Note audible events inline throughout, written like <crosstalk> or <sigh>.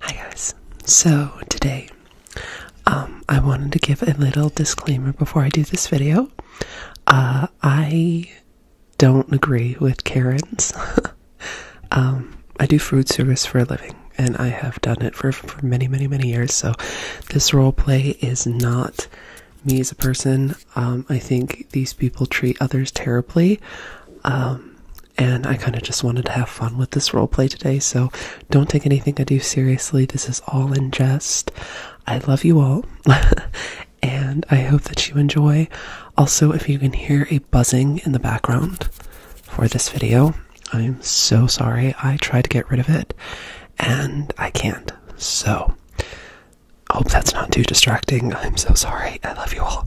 Hi guys. So today um, I wanted to give a little disclaimer before I do this video. Uh, I don't agree with Karen's. <laughs> Um, I do food service for a living, and I have done it for, for many, many, many years. So this role play is not me as a person. Um, I think these people treat others terribly. Um, and I kind of just wanted to have fun with this role play today, so don't take anything I do seriously. This is all in jest. I love you all, <laughs> and I hope that you enjoy. Also, if you can hear a buzzing in the background for this video, I'm so sorry. I tried to get rid of it, and I can't. So, I hope that's not too distracting. I'm so sorry. I love you all.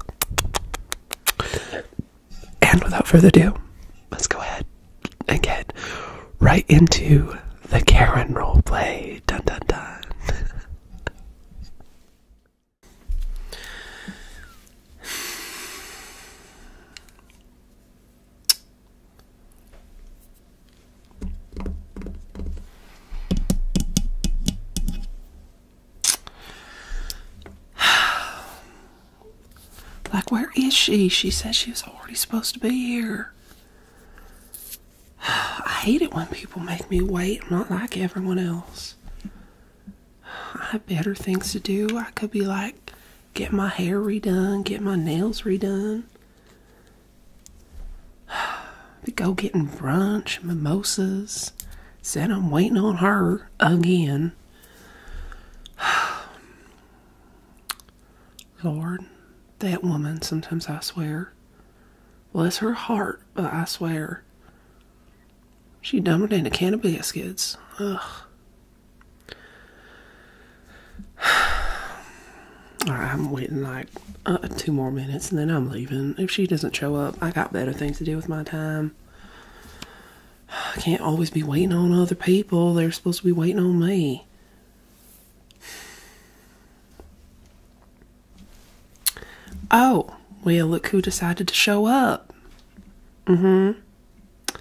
And without further ado, let's go ahead again right into the Karen roleplay. Dun dun dun. <sighs> Like, where is she? She said she was already supposed to be here. I hate it when people make me wait. I'm not like everyone else. I have better things to do. I could be like, get my hair redone, get my nails redone. <sighs> Go getting brunch, mimosas. Said I'm waiting on her again. <sighs> <sighs> Lord, that woman, sometimes I swear. Bless her heart, but I swear. She dumped in a can of biscuits. Ugh. <sighs> Alright, I'm waiting like uh, two more minutes and then I'm leaving. If she doesn't show up, I got better things to do with my time. I <sighs> can't always be waiting on other people. They're supposed to be waiting on me. Oh, well, look who decided to show up. Mm hmm.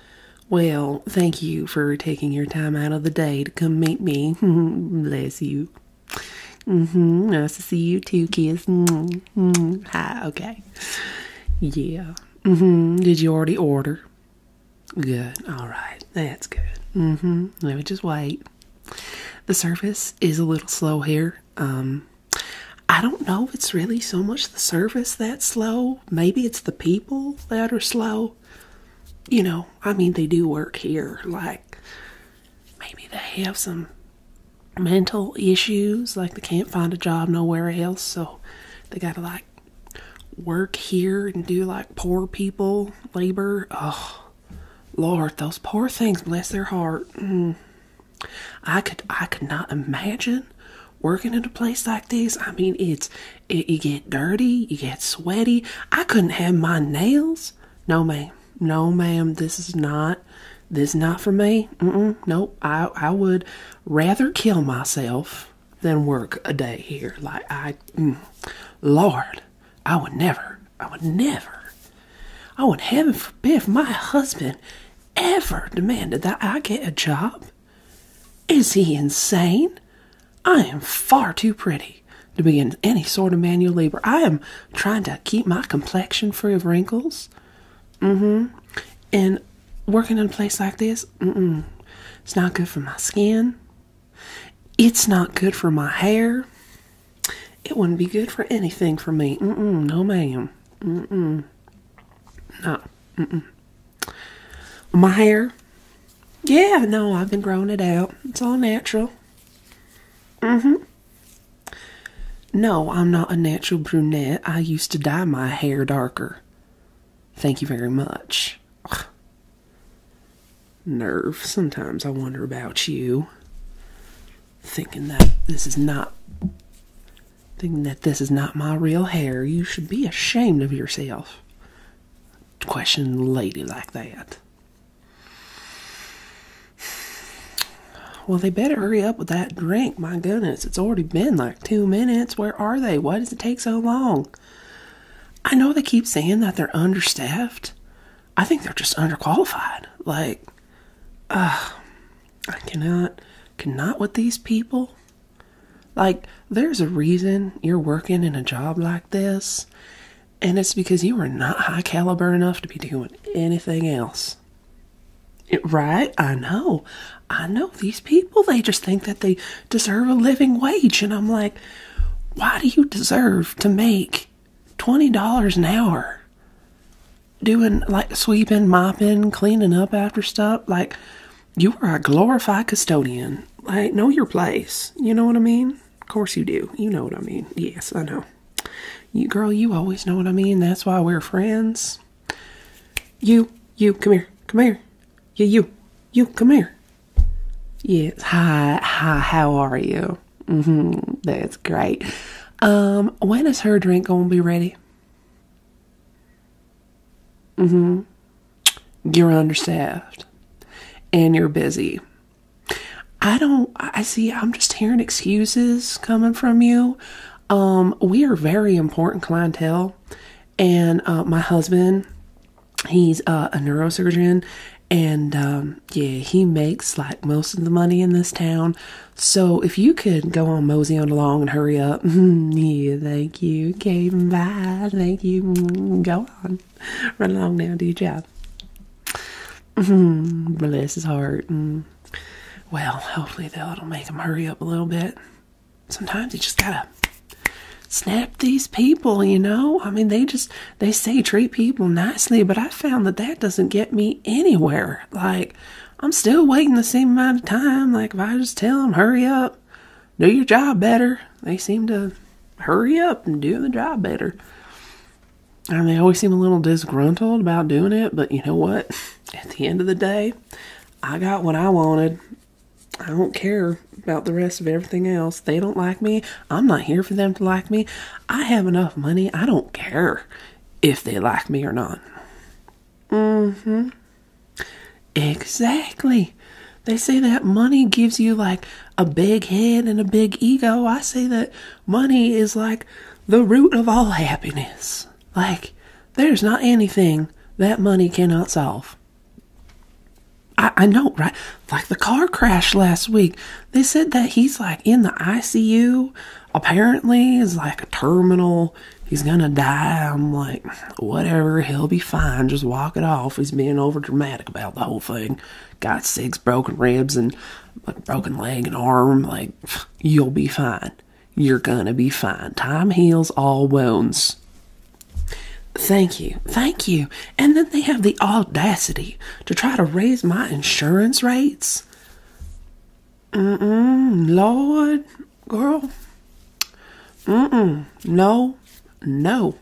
Well, thank you for taking your time out of the day to come meet me. <laughs> Bless you. Mm hmm. Nice to see you too, kids. Mm -hmm. Hi, okay. Yeah. Mm hmm. Did you already order? Good. All right. That's good. Mm hmm. Let me just wait. The service is a little slow here. Um, I don't know if it's really so much the service that's slow. Maybe it's the people that are slow. You know, I mean, they do work here. Like, maybe they have some mental issues. Like, they can't find a job nowhere else. So they got to, like, work here and do, like, poor people labor. Oh, Lord, those poor things, bless their heart. Mm. I could, I could not imagine working in a place like this. I mean, it's it, you get dirty, you get sweaty. I couldn't have my nails. No, ma'am. No, ma'am. This is not. This is not for me. No, I I would rather kill myself than work a day here. Like I, mm. Lord. I would never, I would never, I would heaven forbid if my husband ever demanded that I get a job. Is he insane? I am far too pretty to begin any sort of manual labor. I am trying to keep my complexion free of wrinkles. Mm hmm. And working in a place like this, mm mm. It's not good for my skin. It's not good for my hair. It wouldn't be good for anything for me. Mm -mm, no, ma'am. Mm-mm. No. Mm-mm. My hair. Yeah, no, I've been growing it out. It's all natural. Mm-hmm. No, I'm not a natural brunette. I used to dye my hair darker. Thank you very much. Nerve. Sometimes I wonder about you. Thinking that this is not. Thinking that this is not my real hair. You should be ashamed of yourself. Question lady like that. Well, they better hurry up with that drink. My goodness, it's already been like two minutes. Where are they? Why does it take so long? I know they keep saying that they're understaffed. I think they're just underqualified. Like, uh, I cannot, cannot with these people. Like, there's a reason you're working in a job like this, and it's because you are not high caliber enough to be doing anything else. right? I know. I know these people, they just think that they deserve a living wage. And I'm like, why do you deserve to make $20 an hour doing like sweeping, mopping, cleaning up after stuff? Like, you are a glorified custodian. Like, know your place. You know what I mean? Of course you do. You know what I mean. Yes, I know. You girl, you always know what I mean. That's why we're friends. You, you, come here. Come here. Yeah, you. You, come here. Yes. Hi. Hi. How are you? Mm-hmm. That's great. Um, when is her drink gonna be ready? Mm-hmm. You're understaffed and you're busy. I don't I see I'm just hearing excuses coming from you. Um, we are very important clientele and uh, my husband He's uh, a neurosurgeon, and um, yeah, he makes like most of the money in this town. So if you could go on mosey on along and hurry up, <laughs> yeah, thank you, okay, bye, thank you, mm, go on, run along now, do your job. Bless his heart. Mm. Well, hopefully that'll make him hurry up a little bit. Sometimes you just gotta snap these people, you know? I mean, they just they say treat people nicely, but I found that that doesn't get me anywhere. Like, I'm still waiting the same amount of time. Like, if I just tell them, hurry up, do your job better, they seem to hurry up and do the job better. And they always seem a little disgruntled about doing it, but you know what? <laughs> At the end of the day, I got what I wanted. I don't care about the rest of everything else. They don't like me. I'm not here for them to like me. I have enough money. I don't care if they like me or not. Mm-hmm. Exactly. They say that money gives you like a big head and a big ego. I say that money is like the root of all happiness. Like, there's not anything that money cannot solve. I, I know, right? Like the car crash last week. They said that he's like in the ICU. Apparently, is like a terminal. He's gonna die. I'm like, whatever. He'll be fine. Just walk it off. He's being over dramatic about the whole thing. Got six broken ribs and like broken leg and arm. Like, <sighs> you'll be fine. You're gonna be fine. Time heals all wounds. Thank you. Thank you. And then they have the audacity to try to raise my insurance rates. Mm-mm, Lord, girl. Mm-mm, no, no.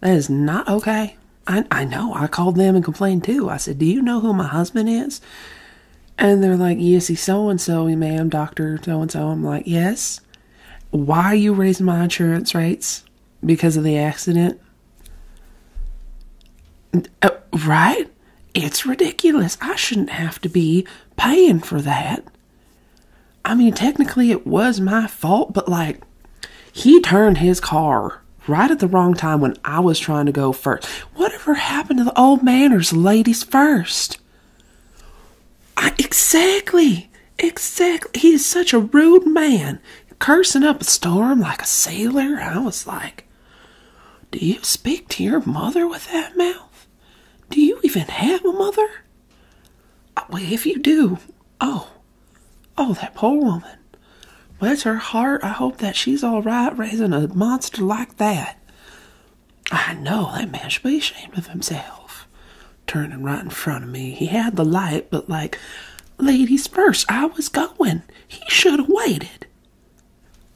That is not okay. I, I know. I called them and complained too. I said, Do you know who my husband is? And they're like, Yes, he's so and so, ma'am, doctor, so and so. I'm like, Yes. Why are you raising my insurance rates? because of the accident. Uh, right? It's ridiculous. I shouldn't have to be paying for that. I mean, technically it was my fault, but like, he turned his car right at the wrong time when I was trying to go first. Whatever happened to the old manners, ladies first? exactly. Exactly. He is such a rude man cursing up a storm like a sailor. I was like, Do you speak to your mother with that mouth? Do you even have a mother? Oh, well, if you do, oh, oh, that poor woman. Bless her heart. I hope that she's all right raising a monster like that. I know that man should be ashamed of himself. Turning right in front of me, he had the light, but like Ladies first, I was going. He should have waited.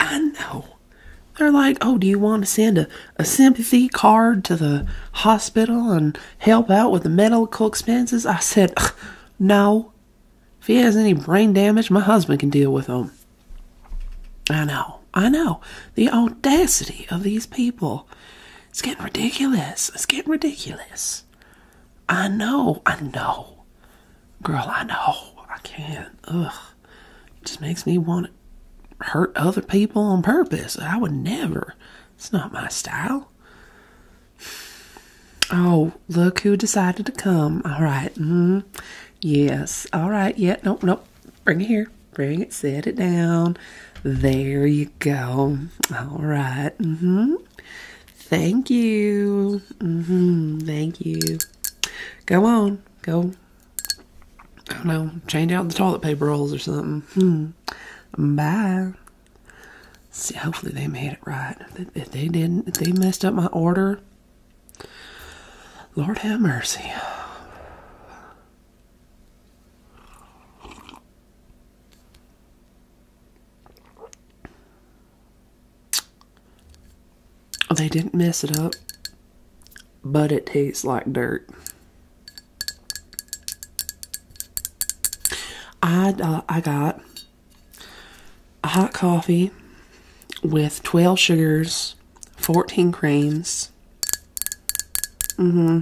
I know. They're like, oh, do you want to send a, a sympathy card to the hospital and help out with the medical expenses? I said, no. If he has any brain damage, my husband can deal with him. I know. I know. The audacity of these people. It's getting ridiculous. It's getting ridiculous. I know, I know. Girl, I know. I can't. Ugh. just makes me want to hurt other people on purpose. I would never. It's not my style. Oh, look who decided to come. All right. Mm, yes. All right. Yeah. Nope. Nope. Bring it here. Bring it. Set it down. There you go. All right. Mm-hmm. Thank you. Mm -hmm. Thank you. Go on. Go. I don't know. Change out the toilet paper rolls or something. Hmm. Bye. See, hopefully they made it right. If they, didn't, if they messed up my order, Lord have mercy. They didn't mess it up, but it tastes like dirt. I, uh, I got a hot coffee with 12 sugars, 14 creams. Mm hmm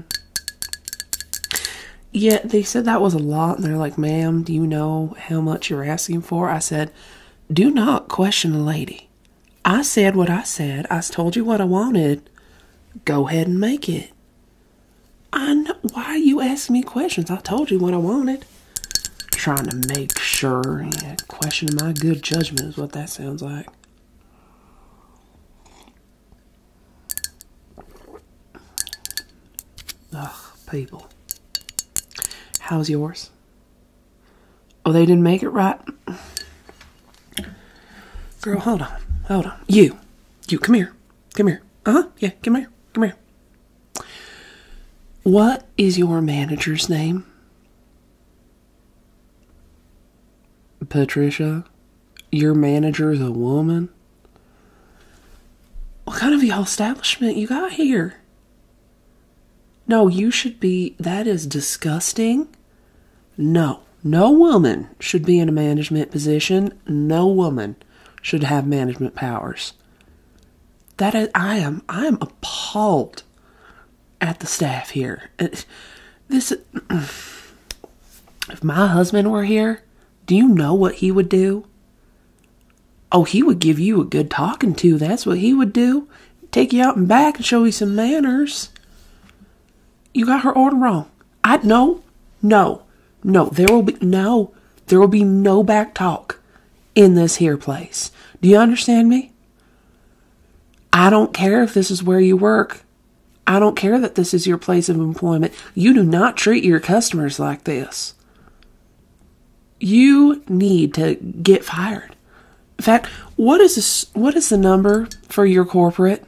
yeah, they said that was a lot. they're like, ma'am, do you know how much you're asking for? I said, do not question the lady. I said what I said. I told you what I wanted. Go ahead and make it. I know. Why are you asking me questions? I told you what I wanted. Trying to make sure. and questioning my good judgment is what that sounds like. Ugh, people. How's yours? Oh, they didn't make it right? Girl, hold on. Hold on. You. You, come here. Come here. Uh huh. Yeah, come here. Come here. What is your manager's name? Patricia, your manager's a woman? What kind of y'all establishment you got here? No, you should be. That is disgusting. No, no woman should be in a management position. No woman should have management powers. That I am. I am appalled at the staff here. This. <clears throat> If my husband were here, do you know what he would do? Oh, he would give you a good talking to. That's what he would do. Take you out and back and show you some manners. You got her order wrong. I no, no, no. There will be no, there will be no back talk in this here place. Do you understand me? I don't care if this is where you work. I don't care that this is your place of employment. You do not treat your customers like this. You need to get fired. In fact, what is this, what is the number for your corporate?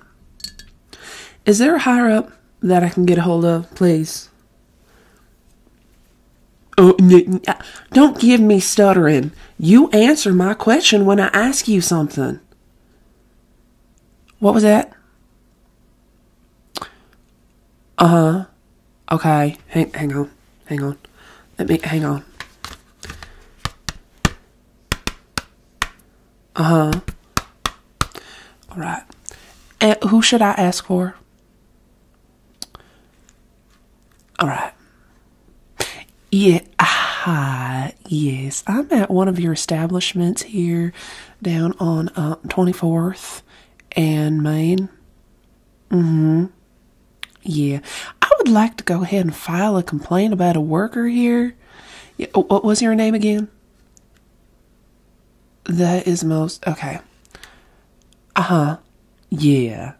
Is there a higher up that I can get a hold of, please? Oh, uh, don't give me stuttering. You answer my question when I ask you something. What was that? Uh huh. Okay. Hang, hang on. Hang on. Let me hang on. Uh huh. All right. Eh, who should I ask for? All right. Yeah. Hi. Yes, I'm at one of your establishments here down on 24th uh, and Maine. Mm-hmm. Yeah. I would like to go ahead and file a complaint about a worker here. Oh, what was your name again? That is most okay. Uh-huh. Yeah.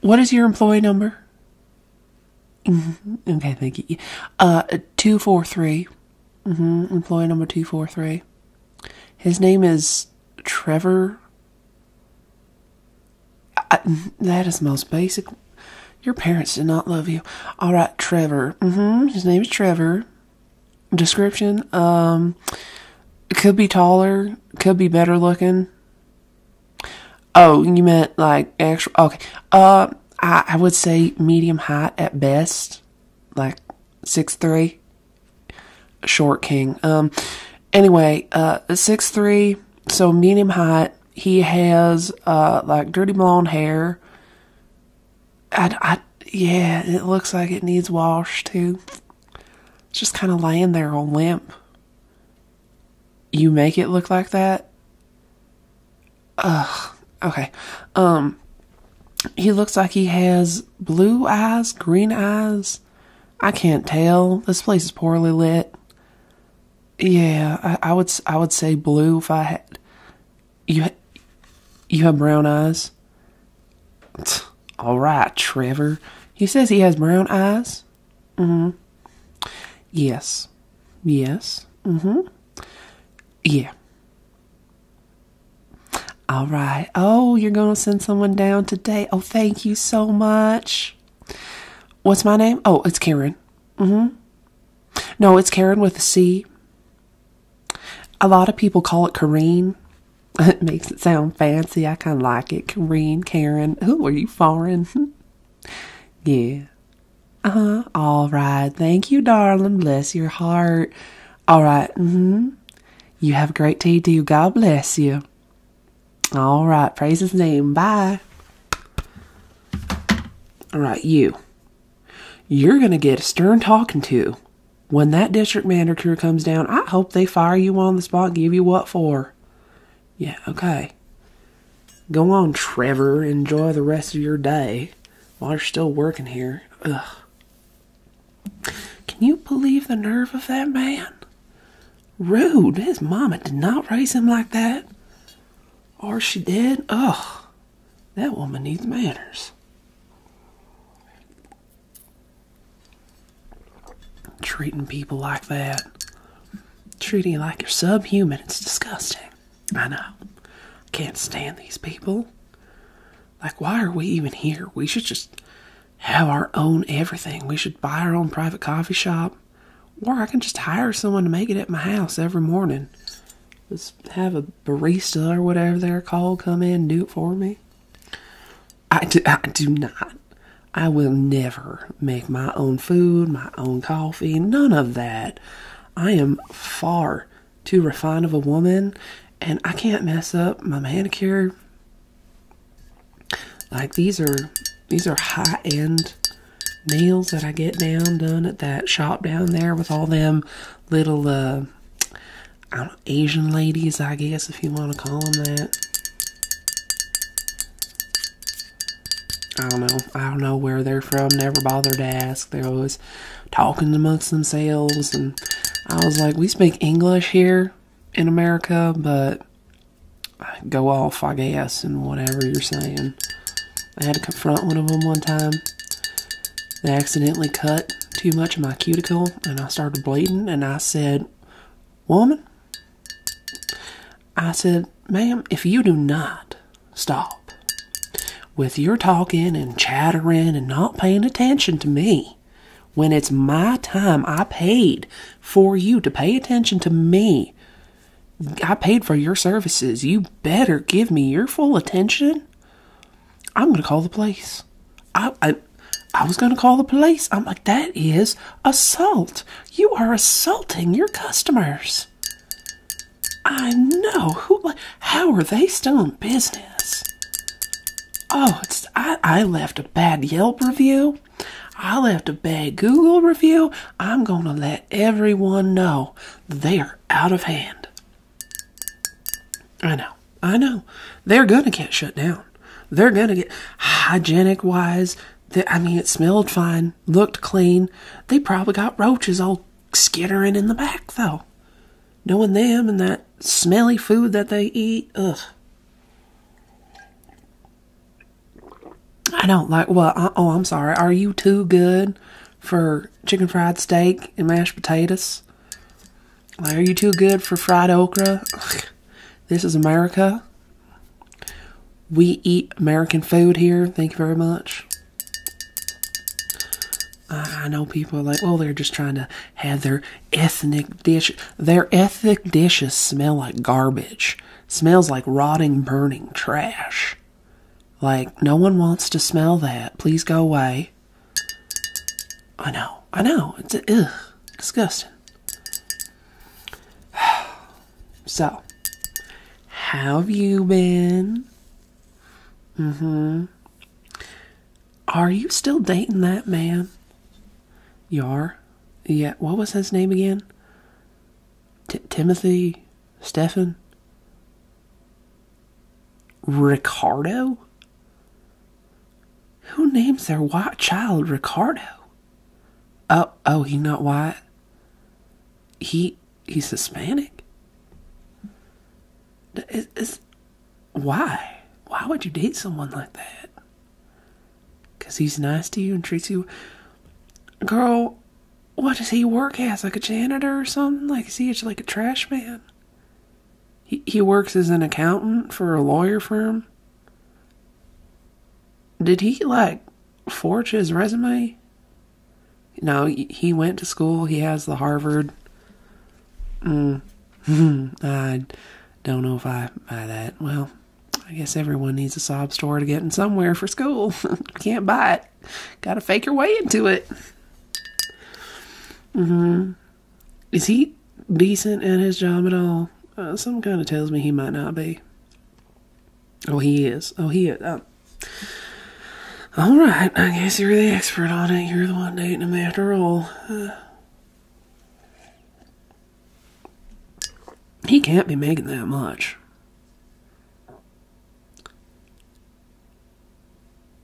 What is your employee number? Mm-hmm. okay, thank you. Uh, 243 Mm-hmm. Employee number 243. His name is Trevor. that is most basic. Your parents did not love you. All right, Trevor. Mm-hmm. His name is Trevor. Description. Um, could be taller. Could be better looking. Oh, you meant like actual? Okay. Uh, I would say medium height at best. Like six three, short king. Um, anyway, uh, six three, so medium height. He has uh like dirty blonde hair. I, I yeah, it looks like it needs washed too. just kind of laying there on limp. You make it look like that. Ugh. Okay. Um. He looks like he has blue eyes, green eyes. I can't tell. This place is poorly lit. Yeah, I, would I would say blue if I had. You you have brown eyes. All right, Trevor. He says he has brown eyes. Mm hmm. Yes. Yes. Mm hmm. Yeah. All right. Oh, you're going to send someone down today. Oh, thank you so much. What's my name? Oh, it's Karen. Mm hmm. No, it's Karen with a C. A lot of people call it Kareen. <laughs> It makes it sound fancy. I kind of like it. Kareen, Karen. Who are you foreign? <laughs> yeah. Uh huh. All right. Thank you, darling. Bless your heart. All mm-hmm. You have a great day, too. God bless you. All right. Praise his name. Bye. All right, you. You're going to get a stern talking to when that district manager comes down. I hope they fire you on the spot give you what for. Yeah, okay. Go on, Trevor. Enjoy the rest of your day while you're still working here. Ugh. Can you believe the nerve of that man? Rude. His mama did not raise him like that. Or she did. Ugh. That woman needs manners. Treating people like that. Treating like you're subhuman. It's disgusting. I know. can't stand these people. Like, why are we even here? We should just have our own everything. We should buy our own private coffee shop. Or I can just hire someone to make it at my house every morning. Just have a barista or whatever they're called come in and do it for me. I do, I do not. I will never make my own food, my own coffee, none of that. I am far too refined of a woman and I can't mess up my manicure. Like these are these are high end nails that I get down done at that shop down there with all them little uh, Asian ladies, I guess if you want to call them that. I don't know. I don't know where they're from. Never bothered to ask. They're always talking amongst themselves and I was like, we speak English here in America, but go off, I guess, and whatever you're saying. I had to confront one of them one time. They accidentally cut too much of my cuticle and I started bleeding. And I said, Woman, I said, Ma'am, if you do not stop with your talking and chattering and not paying attention to me, when it's my time, I paid for you to pay attention to me. I paid for your services. You better give me your full attention. I'm going to call the police. I, I, was going to call the police. I'm like, that is assault. You are assaulting your customers. I know. Who, how are they still in business? Oh, it's I, left a bad Yelp review. I left a bad Google review. I'm gonna let everyone know they are out of hand. I know, I know. They're gonna get shut down. They're gonna get hygienic wise. They, I mean, it smelled fine, looked clean. They probably got roaches all skittering in the back though. Knowing them and that smelly food that they eat. Ugh. I don't like, well, oh, I'm sorry. Are you too good for chicken fried steak and mashed potatoes? Like, are you too good for fried okra? This is America. We eat American food here. Thank you very much. I know people like, well, they're just trying to had their ethnic dish. Their ethnic dishes smell like garbage. Smells like rotting, burning trash. Like, no one wants to smell that. Please go away. I know. I know. It's ugh, disgusting. <sighs> So, have you been? Mm hmm. Are you still dating that man? Yar, Yeah, what was his name again? Timothy? Stephen. Ricardo? Who names their white child Ricardo? Oh, oh, he not white. He he's Hispanic. Is, is why? Why would you date someone like that? Because he's nice to you and treats you. Girl, what does he work as? Like a janitor or something? Like, is he like a trash man? He, he works as an accountant for a lawyer firm. Did he, like, forge his resume? No, he went to school. He has the Harvard Mm, <laughs> I don't know if I buy that. Well, I guess everyone needs a sob story to get in somewhere for school. <laughs> Can't buy it. Gotta fake your way into it. Mm-hmm. Is he decent at his job at all? Uh, some kind of tells me he might not be. Oh, he is. Oh, he is. Um, all right. I guess you're the expert on it. You're the one dating him after all. Uh, he can't be making that much.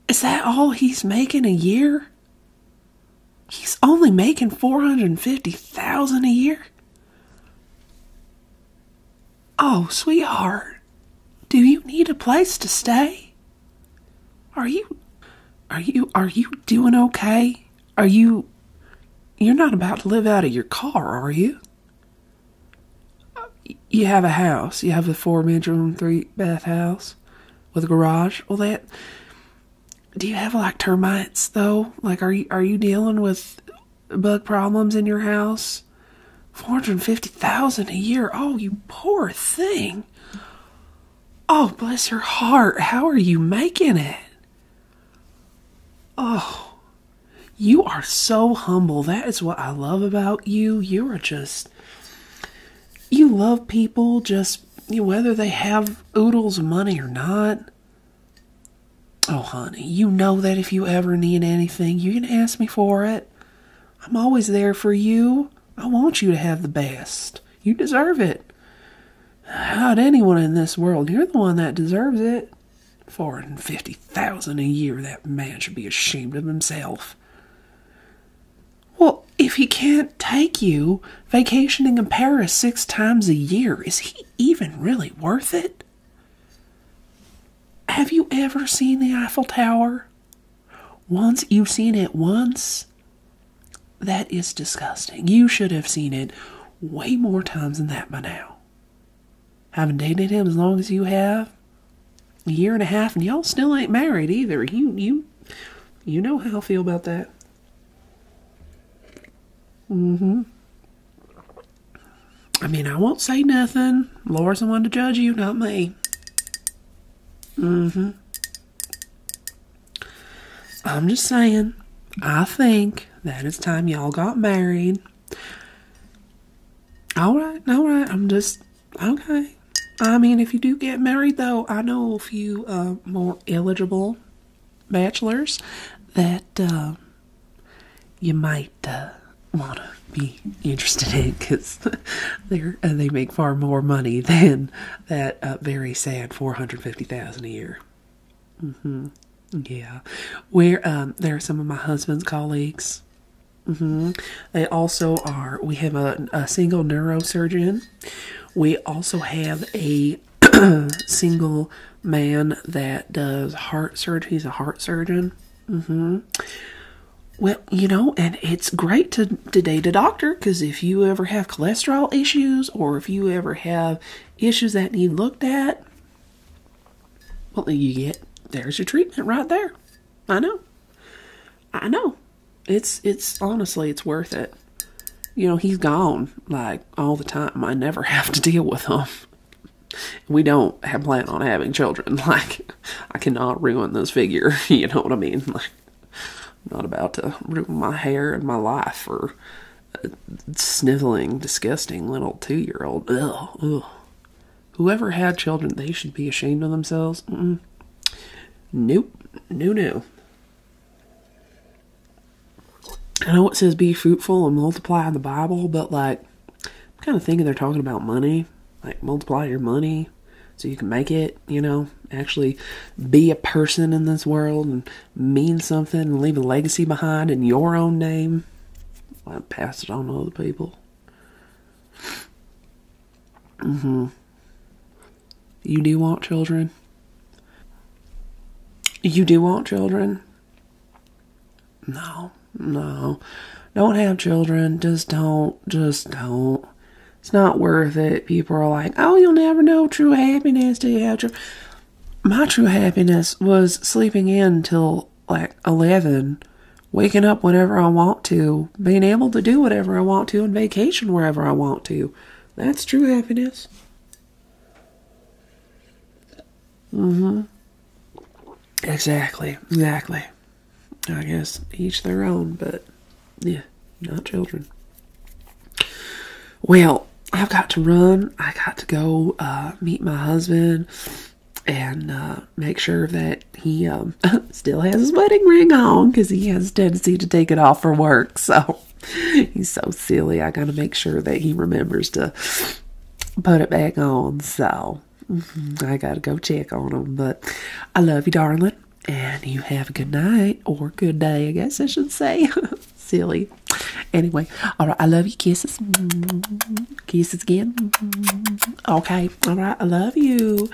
Is that all he's making a year? He's only making 450,000 a year. Oh, sweetheart. Do you need a place to stay? Are you are you are you doing okay? Are you you're not about to live out of your car, are you? You have a house. You have a four bedroom, three bath house with a garage. All that. Do you have like termites though? Like, are you are you dealing with bug problems in your house? Four hundred fifty thousand a year. Oh, you poor thing. Oh, bless her heart. How are you making it? Oh, you are so humble. That is what I love about you. You are just, you love people just whether they have oodles of money or not. Oh, honey, you know that if you ever need anything, you can ask me for it. I'm always there for you. I want you to have the best. You deserve it. how anyone in this world? You're the one that deserves it. Four hundred fifty thousand a year. That man should be ashamed of himself. Well, if he can't take you vacationing in Paris six times a year, is he even really worth it? Have you ever seen the Eiffel Tower? Once you've seen it once, that is disgusting. You should have seen it way more times than that by now. Haven't dated him as long as you have. A year and a half, and y'all still ain't married either. You you you know how I feel about that. Mm-hmm. I mean, I won't say nothing. Laura's the one to judge you, not me. Mm-hmm. I'm just saying, I think that it's time y'all got married. All right, all right. I'm just okay. I mean, if you do get married, though, I know a few uh, more eligible bachelors that uh, you might uh, want to be interested in because <laughs> they uh, they make far more money than that uh, very sad four hundred fifty thousand a year. Mm-hmm. Yeah, where um, there are some of my husband's colleagues. Mm-hmm. They also are. We have a, a single neurosurgeon. We also have a <clears throat> single man that does heart surgery. He's a heart surgeon. Mm-hmm. Well, you know, and it's great to to date a doctor because if you ever have cholesterol issues or if you ever have issues that need looked at, well, you get there's your treatment right there. I know. I know. It's it's honestly it's worth it. You know, he's gone like all the time. I never <laughs> have to deal with him. We don't have plan on having children. <laughs> Like I cannot ruin this figure, <laughs> you know what I mean? Like I'm not about to ruin my hair and my life for a uh, sniveling, disgusting little two year old. Ugh, ugh. Whoever had children, they should be ashamed of themselves. Mm-mm. Nope. No, no. I know it says be fruitful and multiply in the Bible, but like, I'm kind of thinking they're talking about money. Like, multiply your money so you can make it you know, actually be a person in this world and mean something and leave a legacy behind in your own name. I pass it on to other people. Mm-hmm. You do want children. You do want children. No, no. Don't have children. Just don't. Just don't. It's not worth it. People are like, oh, you'll never know true happiness till you have true. My true happiness was sleeping in till like 11, waking up whenever I want to, being able to do whatever I want to, and vacation wherever I want to. That's true happiness. Mm-hmm. Exactly. Exactly. I guess each their own, but yeah, not children. Well, I've got to run. I got to go uh, meet my husband and uh, make sure that he um, <laughs> still has his wedding ring on because he has a tendency to take it off for work. <laughs> So he's so silly. I got to make sure that he remembers to put it back on. So mm-hmm, I got to go check on him. But I love you, darling. And you have a good night or good day, I guess I should say. <laughs> silly. Anyway, all right. I love you. Kisses. Kisses again. Okay. All right. I love you.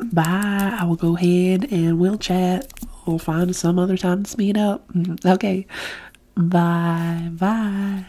Bye. I will go ahead and we'll chat. We'll find some other time to meet up. <laughs> Okay. Bye. Bye.